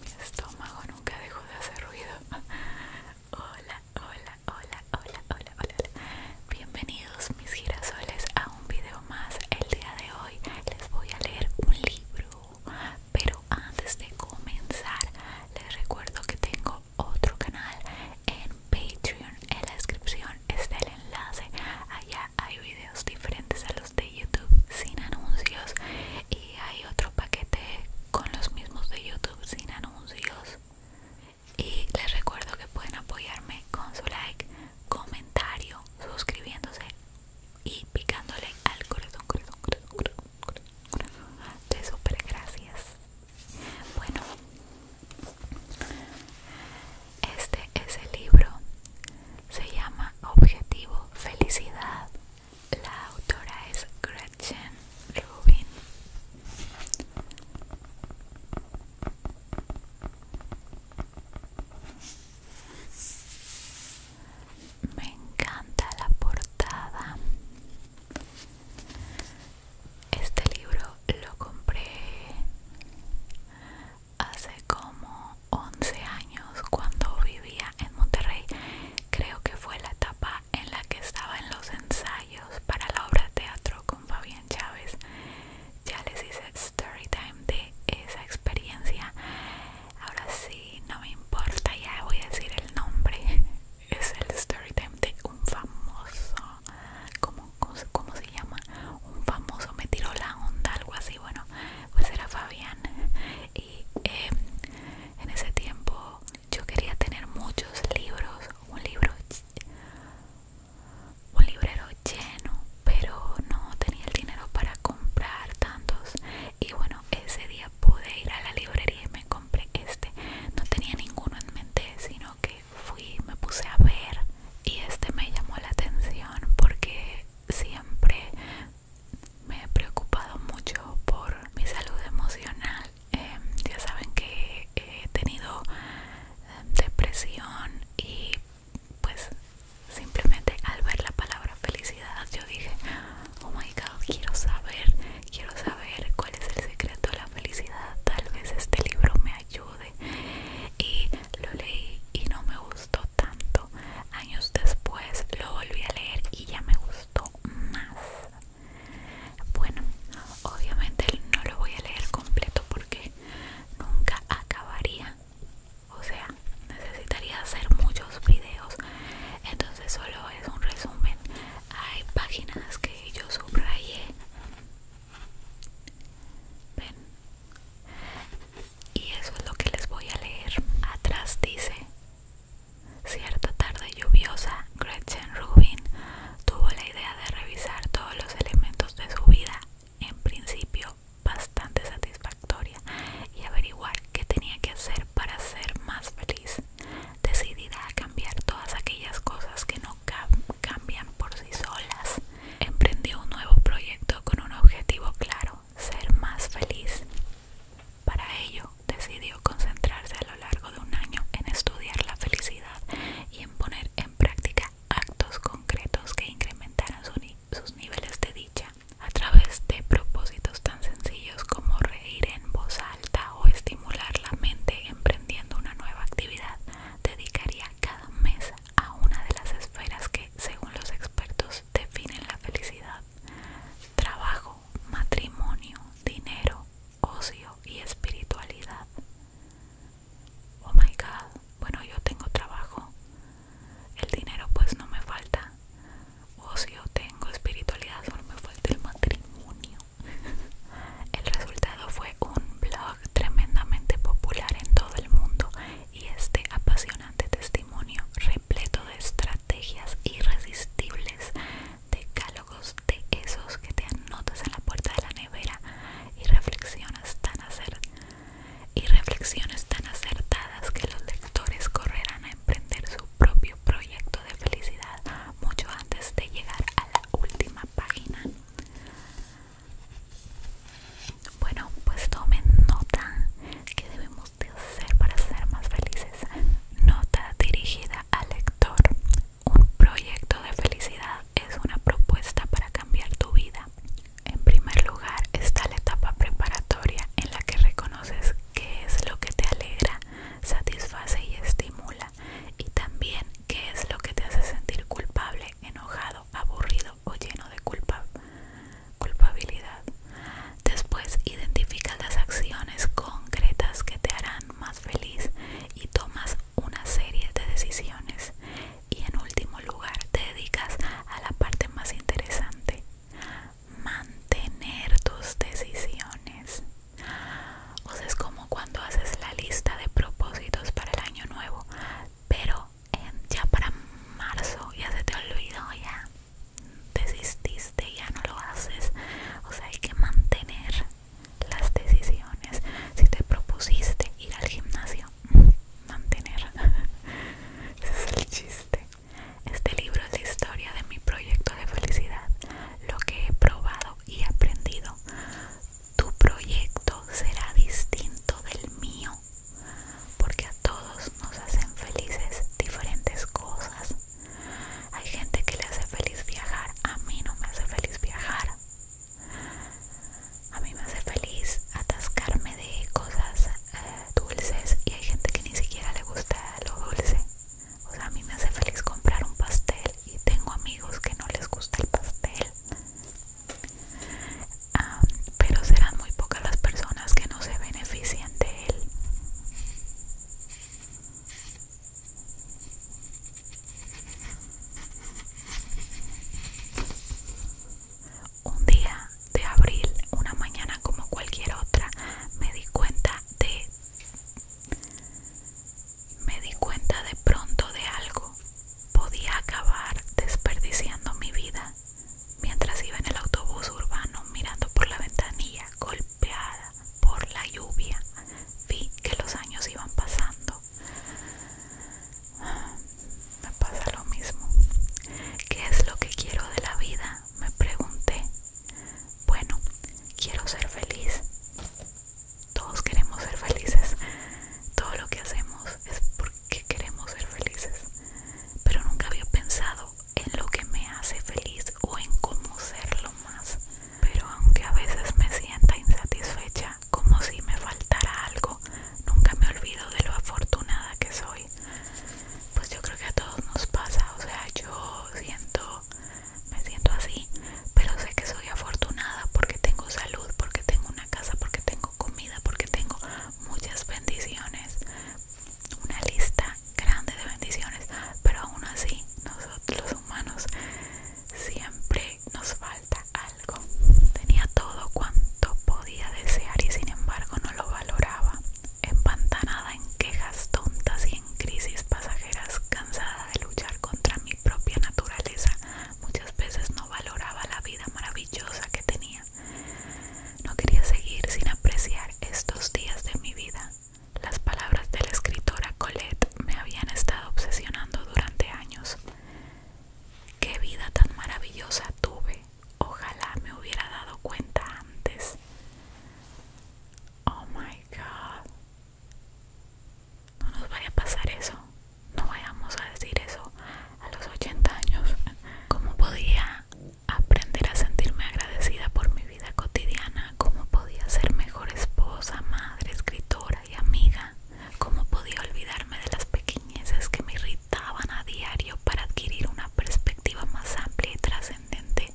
Mi estómago nunca dejó de hacer ruido. Hola, hola, hola, hola, hola, hola. Bienvenidos mis girasoles a un video más. El día de hoy les voy a leer un libro. Pero antes de comenzar, les recuerdo que tengo otro canal en Patreon en la descripción es el enlace. Allá hay videos diferentes a los de YouTube sin anuncios y hay otro paquete con los mismos de YouTube sin anuncios. Y les recuerdo que pueden apoyarme con su like, comentario, suscribiéndose y picándole al corazón, De súper gracias. Bueno, este es el libro. Se llama Objetivo Felicidad. La autora es Gretchen Rubin. Me encanta la portada. Este libro lo compré hace como 11 años cuando vivía en Monterrey. Creo que fue la etapa en la que estaba en los ensayos para la obra teatro con Fabián Chávez. Ya les hice story time de esa experiencia. Ahora sí, no me importa, ya voy a decir el nombre. Es el story time de un famoso como ¿cómo se llama? Un famoso me tiró la onda, algo así, bueno, pues era Fabián. Y em, en ese tiempo yo quería tener muchos libros, un libro, un librero lleno, pero no tenía el dinero para comprar tantos. Y bueno, ese día pude ir a la librería y me compré este. No tenía ninguno en mente, sino que fui, me puse a ver y este me llamó la atención porque siempre me he preocupado mucho por mi salud emocional. Em, ya saben que he tenido em, depresión y pues simplemente al ver la palabra felicidad yo dije, oh my god, quiero saber, quiero saber cuál es el secreto de la felicidad. Tal vez este libro me ayude y lo leí y no me gustó tanto. Años después lo volví a leer y ya me gustó más. Bueno, obviamente no lo voy a leer completo porque nunca acabaría. O sea, necesitaría hacer muchos videos. Entonces solo es un resumen. Hay páginas que yo subrayé Ven. Y eso es lo que les voy a leer. Atrás dice, cierta tarde lluviosa, Gretchen Rubin tuvo la idea de revisar todos los elementos de su vida, en principio bastante satisfactoria, y averiguar qué tenía que hacer para ser más feliz, decidida a cambiar todas aquellas cosas que no, cambian por sí solas. Emprendió un nuevo proyecto con un objetivo claro, ser más feliz. Para ello, decidió concentrarse a lo largo de un año en estudiar la felicidad y en poner en práctica actos concretos que incrementaran sus niveles de dicha a través de propósitos tan sencillos como reír en voz alta o estimular la mente emprendiendo una nueva actividad dedicaría cada mes a una de las esferas que, según los expertos, definen la felicidad. Trabajo, matrimonio, dinero, ocio y espiritualidad. Oh my god, bueno yo tengo trabajo. El dinero pues no me falta. Ocio tengo, espiritualidad solo me falta el matrimonio. El resultado fue un blog tremendamente popular en todo el mundo y este apasionante testimonio repleto de estrategias irresistibles, decálogos de esos que te anotas en la puerta de la nevera y reflexiones tan, y reflexiones tan acertadas que los lectores correrán a emprender su propio proyecto de felicidad mucho antes de llegar a la última página bueno pues tomen nota que debemos hacer para ser más felices nota dirigida al lector un proyecto de felicidad es una propuesta para cambiar tu vida en primer lugar está la etapa preparatoria en la que reconoces qué es lo que te alegra, satisface y estimula y también qué es lo que te hace sentir culpable, enojado, aburrido o lleno de culpa, culpabilidad. Después identifica las acciones concretas que te harán más feliz y tomas una serie de decisiones. Y en último lugar, te dedicas a la parte más interesante, mantener tus decisiones. O sea, es como cuando haces la lista de propósitos para el año nuevo, pero ya para marzo ya se te olvidó, ya desististe, ya no lo haces. O sea, hay que mantener las decisiones. Si te propusiste ir al gimnasio, mantener. Ese es el chiste. Este libro es la historia de mi proyecto de felicidad lo que he probado y aprendido. Tu proyecto será distinto del mío, porque a todos nos hacen felices diferentes cosas. Hay gente que le hace feliz viajar, a mí no me hace feliz viajar. A mí me hace feliz atascarme de cosas eh, dulces y hay gente que ni siquiera le gusta lo dulce. O sea, a mí me hace feliz comprar un pastel y tengo amigos que no les gusta el pastel. Ah, pero serán muy pocas las personas que no se beneficien de él. Un día de abril, una mañana como cualquier otra, me di cuenta de me di cuenta de pronto de algo. Podía acabar desperdiciando mi vida mientras iba en el autobús urbano mirando por la ventanilla golpeada por la lluvia. Vi que los años iban pasando. Me pasa lo mismo. ¿Qué es lo que quiero de la vida? Me pregunté. Bueno, quiero ser feliz. Todos queremos ser felices. Todo lo que hacemos es porque queremos ser felices. Pero nunca había pensado en lo que me hace feliz o en cómo serlo más. Pero aunque a veces me sienta insatisfecha, como si me faltara algo, nunca me olvido de lo afortunada que soy. Pues yo creo que a todos nos pasa. O sea, yo siento me siento así, pero sé que soy afortunada porque tengo salud, porque tengo una casa, porque tengo comida, porque tengo muchas bendiciones, una lista grande de bendiciones, pero aún así nosotros los humanos siempre nos falta algo. Tenía todo cuanto podía desear y sin embargo no lo valoraba empantanada en quejas tontas y en crisis pasajeras, cansada de luchar contra mi propia naturaleza, muchas veces no valoraba la vida maravillosa que tenía. No quería seguir sin apreciar estos días de mi vida. Las palabras de la escritora Colette me habían estado obsesionando durante años. Qué vida tan maravillosa tuve. Ojalá me hubiera dado cuenta antes. Oh my god. No nos vaya a pasar eso. No vayamos a decir eso a los 80 años. ¿Cómo podía aprender a sentirme agradecida por mi vida cotidiana? ¿Cómo podía ser mejor esposa, madre, escritora y amiga? ¿Cómo podía olvidarme de las pequeñeces que me irritaban a diario para adquirir una perspectiva más amplia y trascendente?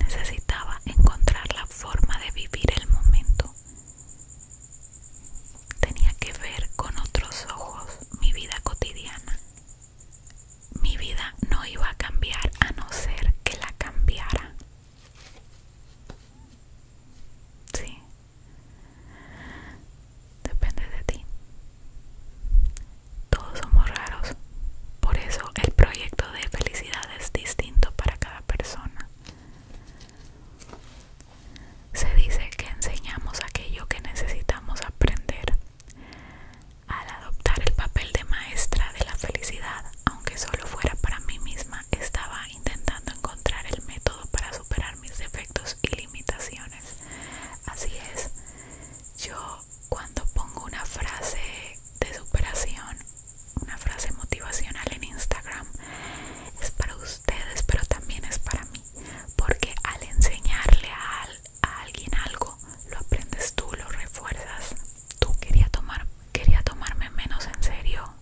Necesitaba encontrar la forma de vivir el momento. Tenía que ver con otros ojos mi vida cotidiana. Mi vida no iba a cambiar a no ser que la cambiara. Sí depende de ti. Todos somos raros, por eso el proyecto de felicidad es distinto para cada persona. Se dice que enseñamos aquello que necesitamos aprender. Al adoptar el papel de maestra de la felicidad, aunque solo fuera para mí misma, estaba intentando encontrar el método para superar mis defectos y limitaciones. Así es, yo cuando pongo una frase de superación, una frase motivacional en Instagram, es para ustedes, pero también es para mí, porque al enseñarle a, alguien algo, lo aprendes tú, lo refuerzas. Tú quería tomar, quería tomarme menos en serio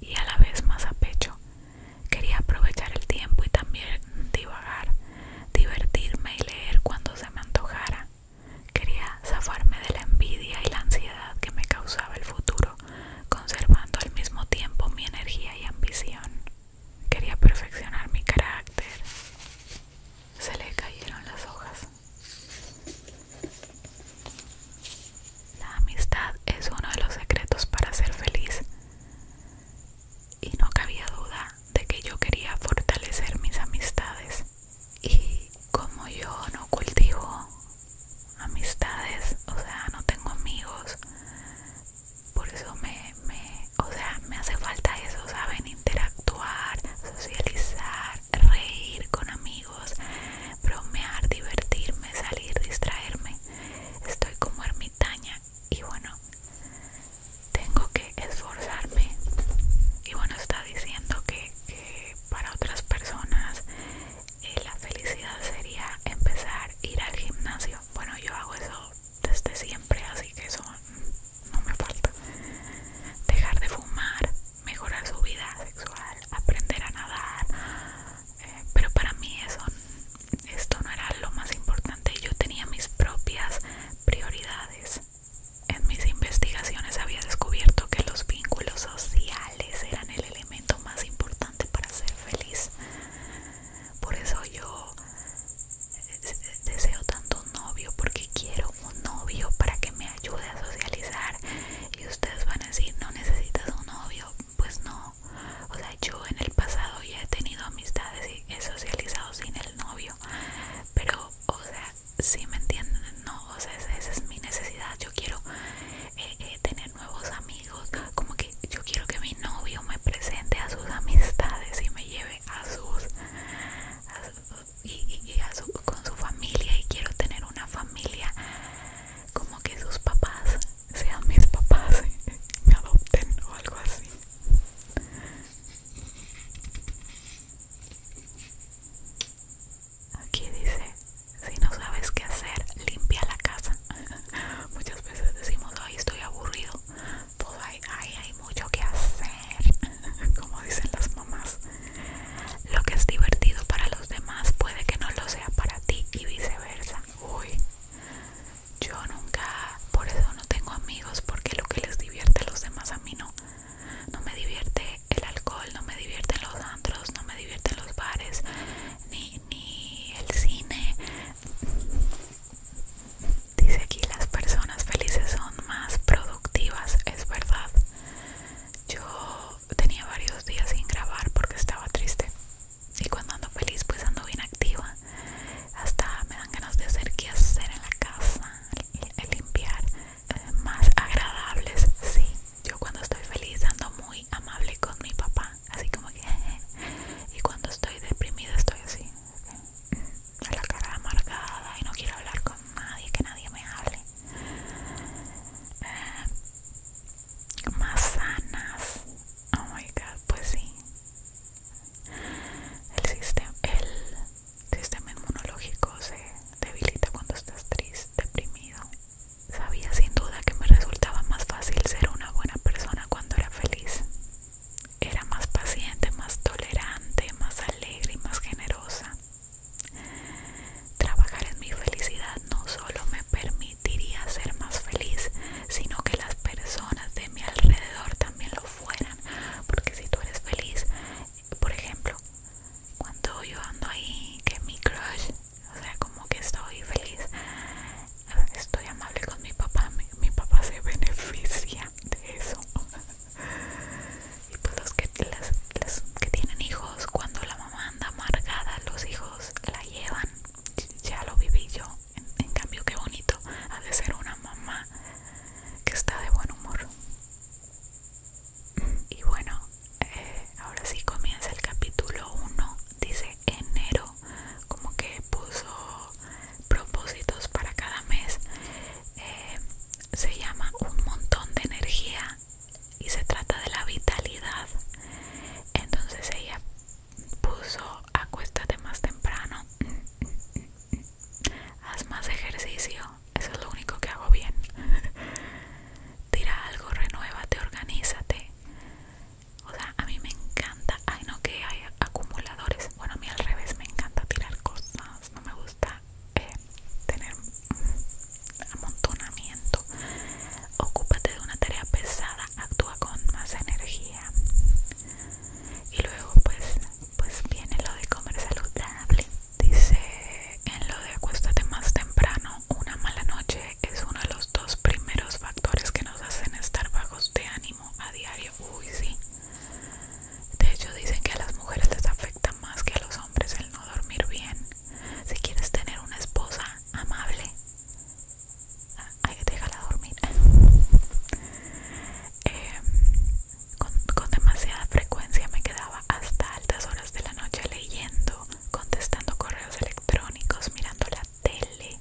y a la vez más a pecho. Quería aprovechar el tiempo y también divagar divertirme y leer cuando se me antojara. Quería zafarme de la envidia y la ansiedad que me causaba el futuro, conservando al mismo tiempo mi energía y ambición. Quería perfeccionar mi carácter. Se le cayeron las hojas. La amistad es uno de los secretos para ser feliz y no cabía duda de que yo quería fortalecer mis amistades. Y como yo no cultivo amistades, o sea, no tengo amigos, por eso me, me o sea, me hace falta eso, saben, interactuar, socializar, reír con amigos, bromear, divertirme, salir, distraerme. Estoy como ermitaña y bueno tengo que esforzarme y bueno está diciendo que, para otras personas eh, la felicidad sería empezar a ir al gimnasio bueno yo hago eso desde siempre así que eso no me falta dejar de fumar mejorar su vida sexual aprender a nadar eh, pero para mí eso esto no era lo más importante, yo tenía mis propias prioridades. En mis investigaciones había descubierto que los vínculos sociales eran el elemento más importante para ser feliz. Por eso yo eh, deseo tanto un novio, porque quiero un novio para que me ayude a socializar. Y ustedes van a decir, no necesitas un novio. Pues no, o sea, yo en el pasado ya he tenido amistades y he socializado sin el novio. Pero, o sea, si me entienden, no, o sea, esa, es mi necesidad. Yo quiero eh, eh, tener nuevos amigos. Como que yo quiero que mi novio me presente a sus amistades y me lleve a sus. y, con su familia. Y quiero tener una familia como que sus papás sean mis papás, me adopten o algo así. Aquí dice, si no sabes qué hacer, limpia la casa. Muchas veces decimos, hoy estoy aburrido. Pues hay hay mucho que hacer, como dicen las mamás. Lo que es divertido para los demás puede que no lo sea para ti y viceversa. Uy, yo nunca, por eso no tengo amigos, porque lo que les divierte a los demás a mí no. No me divierte el alcohol, no me divierten los andros, no me divierten los bares, ni, ni el cine. Dice aquí, las personas felices son más productivas, es verdad. Yo tenía varios días sin grabar porque estaba triste y cuando ando feliz pues ando bien activa hasta me dan ganas de hacer qué hacer en la casa limpiar eh, más agradables sí yo cuando estoy feliz ando muy amable con mi papá así como que y cuando estoy deprimida estoy así con la cara amargada y no quiero hablar con nadie que nadie me hable eh, más sanas Oh my god, pues sí. El sistema, el sistema inmunológico se debilita cuando estás triste, deprimido. Sabía sin duda que me resultaba más fácil ser una buena persona cuando era feliz. Era más paciente, más tolerante, más alegre y más generosa. Trabajar en mi felicidad no solo me permite Diría ser más feliz, sino que las personas de mi alrededor también lo fueran. Porque si tú eres feliz, por ejemplo, cuando yo ando ahí, que mi crush, o sea, como que estoy feliz, estoy amable con mi papá, mi, papá se beneficia de eso. y pues los que, las que tienen hijos, cuando la mamá anda amargada, los hijos la llevan ya lo viví yo. En, cambio, qué bonito ha de ser una mamá que está de buen humor. Y bueno, eh, ahora sí comienza el capítulo 1. Dice enero, como que puso propósitos para cada mes. Eh, se llama Un montón de energía y se trata de la vitalidad. Entonces ella puso acuéstate más temprano, haz más ejercicio, eso es lo único que hago bien. Tira algo, renuévate, organízate. O sea, a mí me encanta, ay no que hay acumuladores. Bueno, a mí al revés me encanta tirar cosas, no me gusta eh, tener amontonamiento. Ocúpate de una tarea pesada, actúa con más energía. Y luego pues, pues viene lo de comer saludable. Dice en lo de acuéstate más temprano, una mala noche es uno de los dos primeros factores que nos hacen estar bajos de ánimo a diario. Uy, sí. De hecho dicen que a las mujeres les afecta más que a los hombres el no dormir bien. Si quieres tener una esposa amable, hay ah, que dejarla dormir. Em, con demasiada frecuencia me quedaba hasta altas horas de la noche leyendo, contestando correos electrónicos, mirando la tele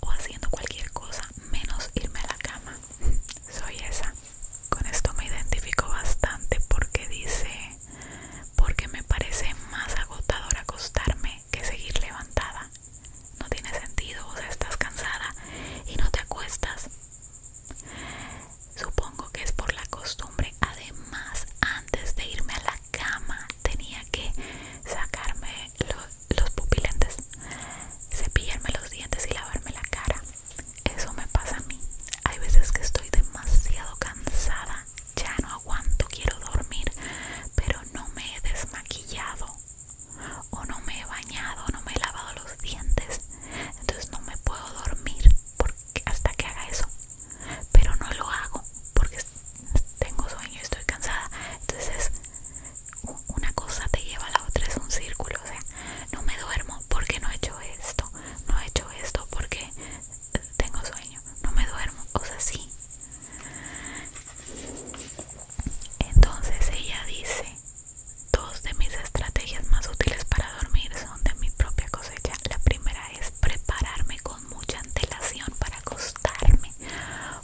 o haciendo cualquier cosa menos irme a la cama. Soy esa. Con esto me identifico bastante porque dice, porque me parece más agotador acostarme que seguir levantada. No tiene sentido, o sea, estás cansada y no te acuestas. Supongo que es por la costumbre. Además, antes de irme a la cama tenía que sacarme los pupilentes, cepillarme los dientes y lavarme la cara. Eso me pasa a mí. Hay veces que estoy demasiado cansada ya no aguanto, quiero dormir, pero no me he desmaquillado o no me he bañado, no me he lavado los dientes, entonces no me puedo dormir porque, hasta que haga eso, pero no lo hago porque tengo sueño, estoy cansada, entonces una cosa te lleva a la otra, es un círculo, o sea, no me duermo porque no he hecho esto, no he hecho esto porque tengo sueño, no me duermo, o sea, sí. Entonces ella dice, dos de mis estrategias más útiles para dormir son de mi propia cosecha. La primera es prepararme con mucha antelación para acostarme.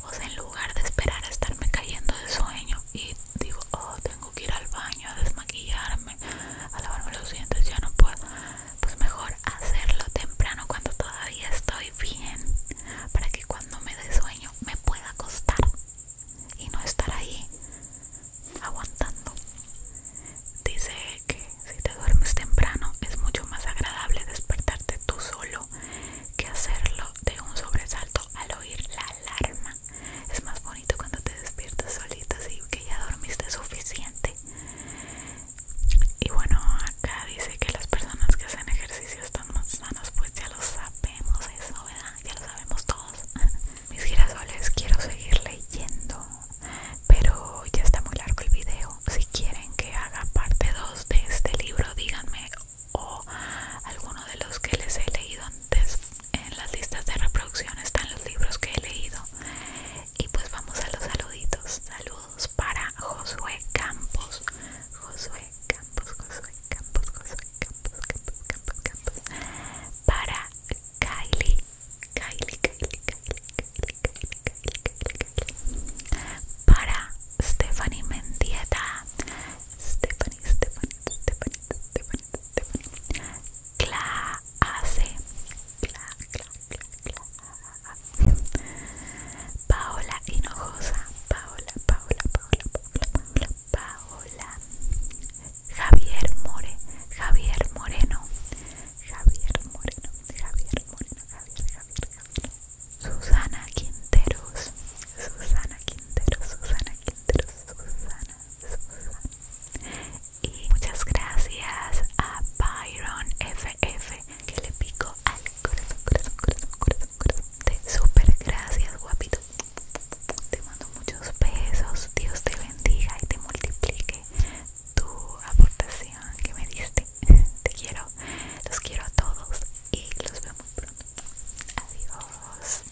O sea, en lugar de esperar a estarme cayendo de sueño y digo, oh, tengo que ir al baño a desmaquillarme, a lavarme los dientes, ya no puedo pues mejor hacerlo temprano cuando todavía estoy bien para que cuando me dé sueño me pueda acostar y no estar ahí aguantando dice que si te duermes temprano es mucho más agradable despertarte tú solo que hacerlo de un sobresalto al oír la alarma es más bonito tú cuando te despiertas solita así que ya dormiste suficiente y bueno acá dice que las personas que hacen ejercicio están más sanas pues ya lo sabemos eso verdad ya lo sabemos todos mis girasoles quiero seguir leyendo pero ya está muy largo el video si quieren que haga parte 2 de este libro díganme o alguno de los que les he leído antes en las listas de reproducción están los libros que he leído. Y pues vamos a los saluditos. Saludos para Josué Campos. Josué Campos, Josué Campos, Josué Campos, Campos, Campos, Para Kylie. Kylie, Kylie, Kylie, Kylie, Kylie, Kylie, Kylie, Kylie. Para Stephanie Mendieta. Stephanie, Stephanie, Stephanie, Stephanie cla, cla, cla, cla. Paola Hinojosa Paola, Paola, Paola, Paola, Paola Javier More Javier Moreno Javier Moreno Javier Moreno Susana Quinteros Susana Quinteros Susana Quinteros Susana Susana y muchas gracias a Byron FF que le pico al corazón, corazón, corazón, corazón, corazón. de super gracias, guapito. Te mando muchos besos. Dios te bendiga y te multiplique tu aportación que me diste. Te quiero, los quiero a todos y los vemos pronto. Adiós.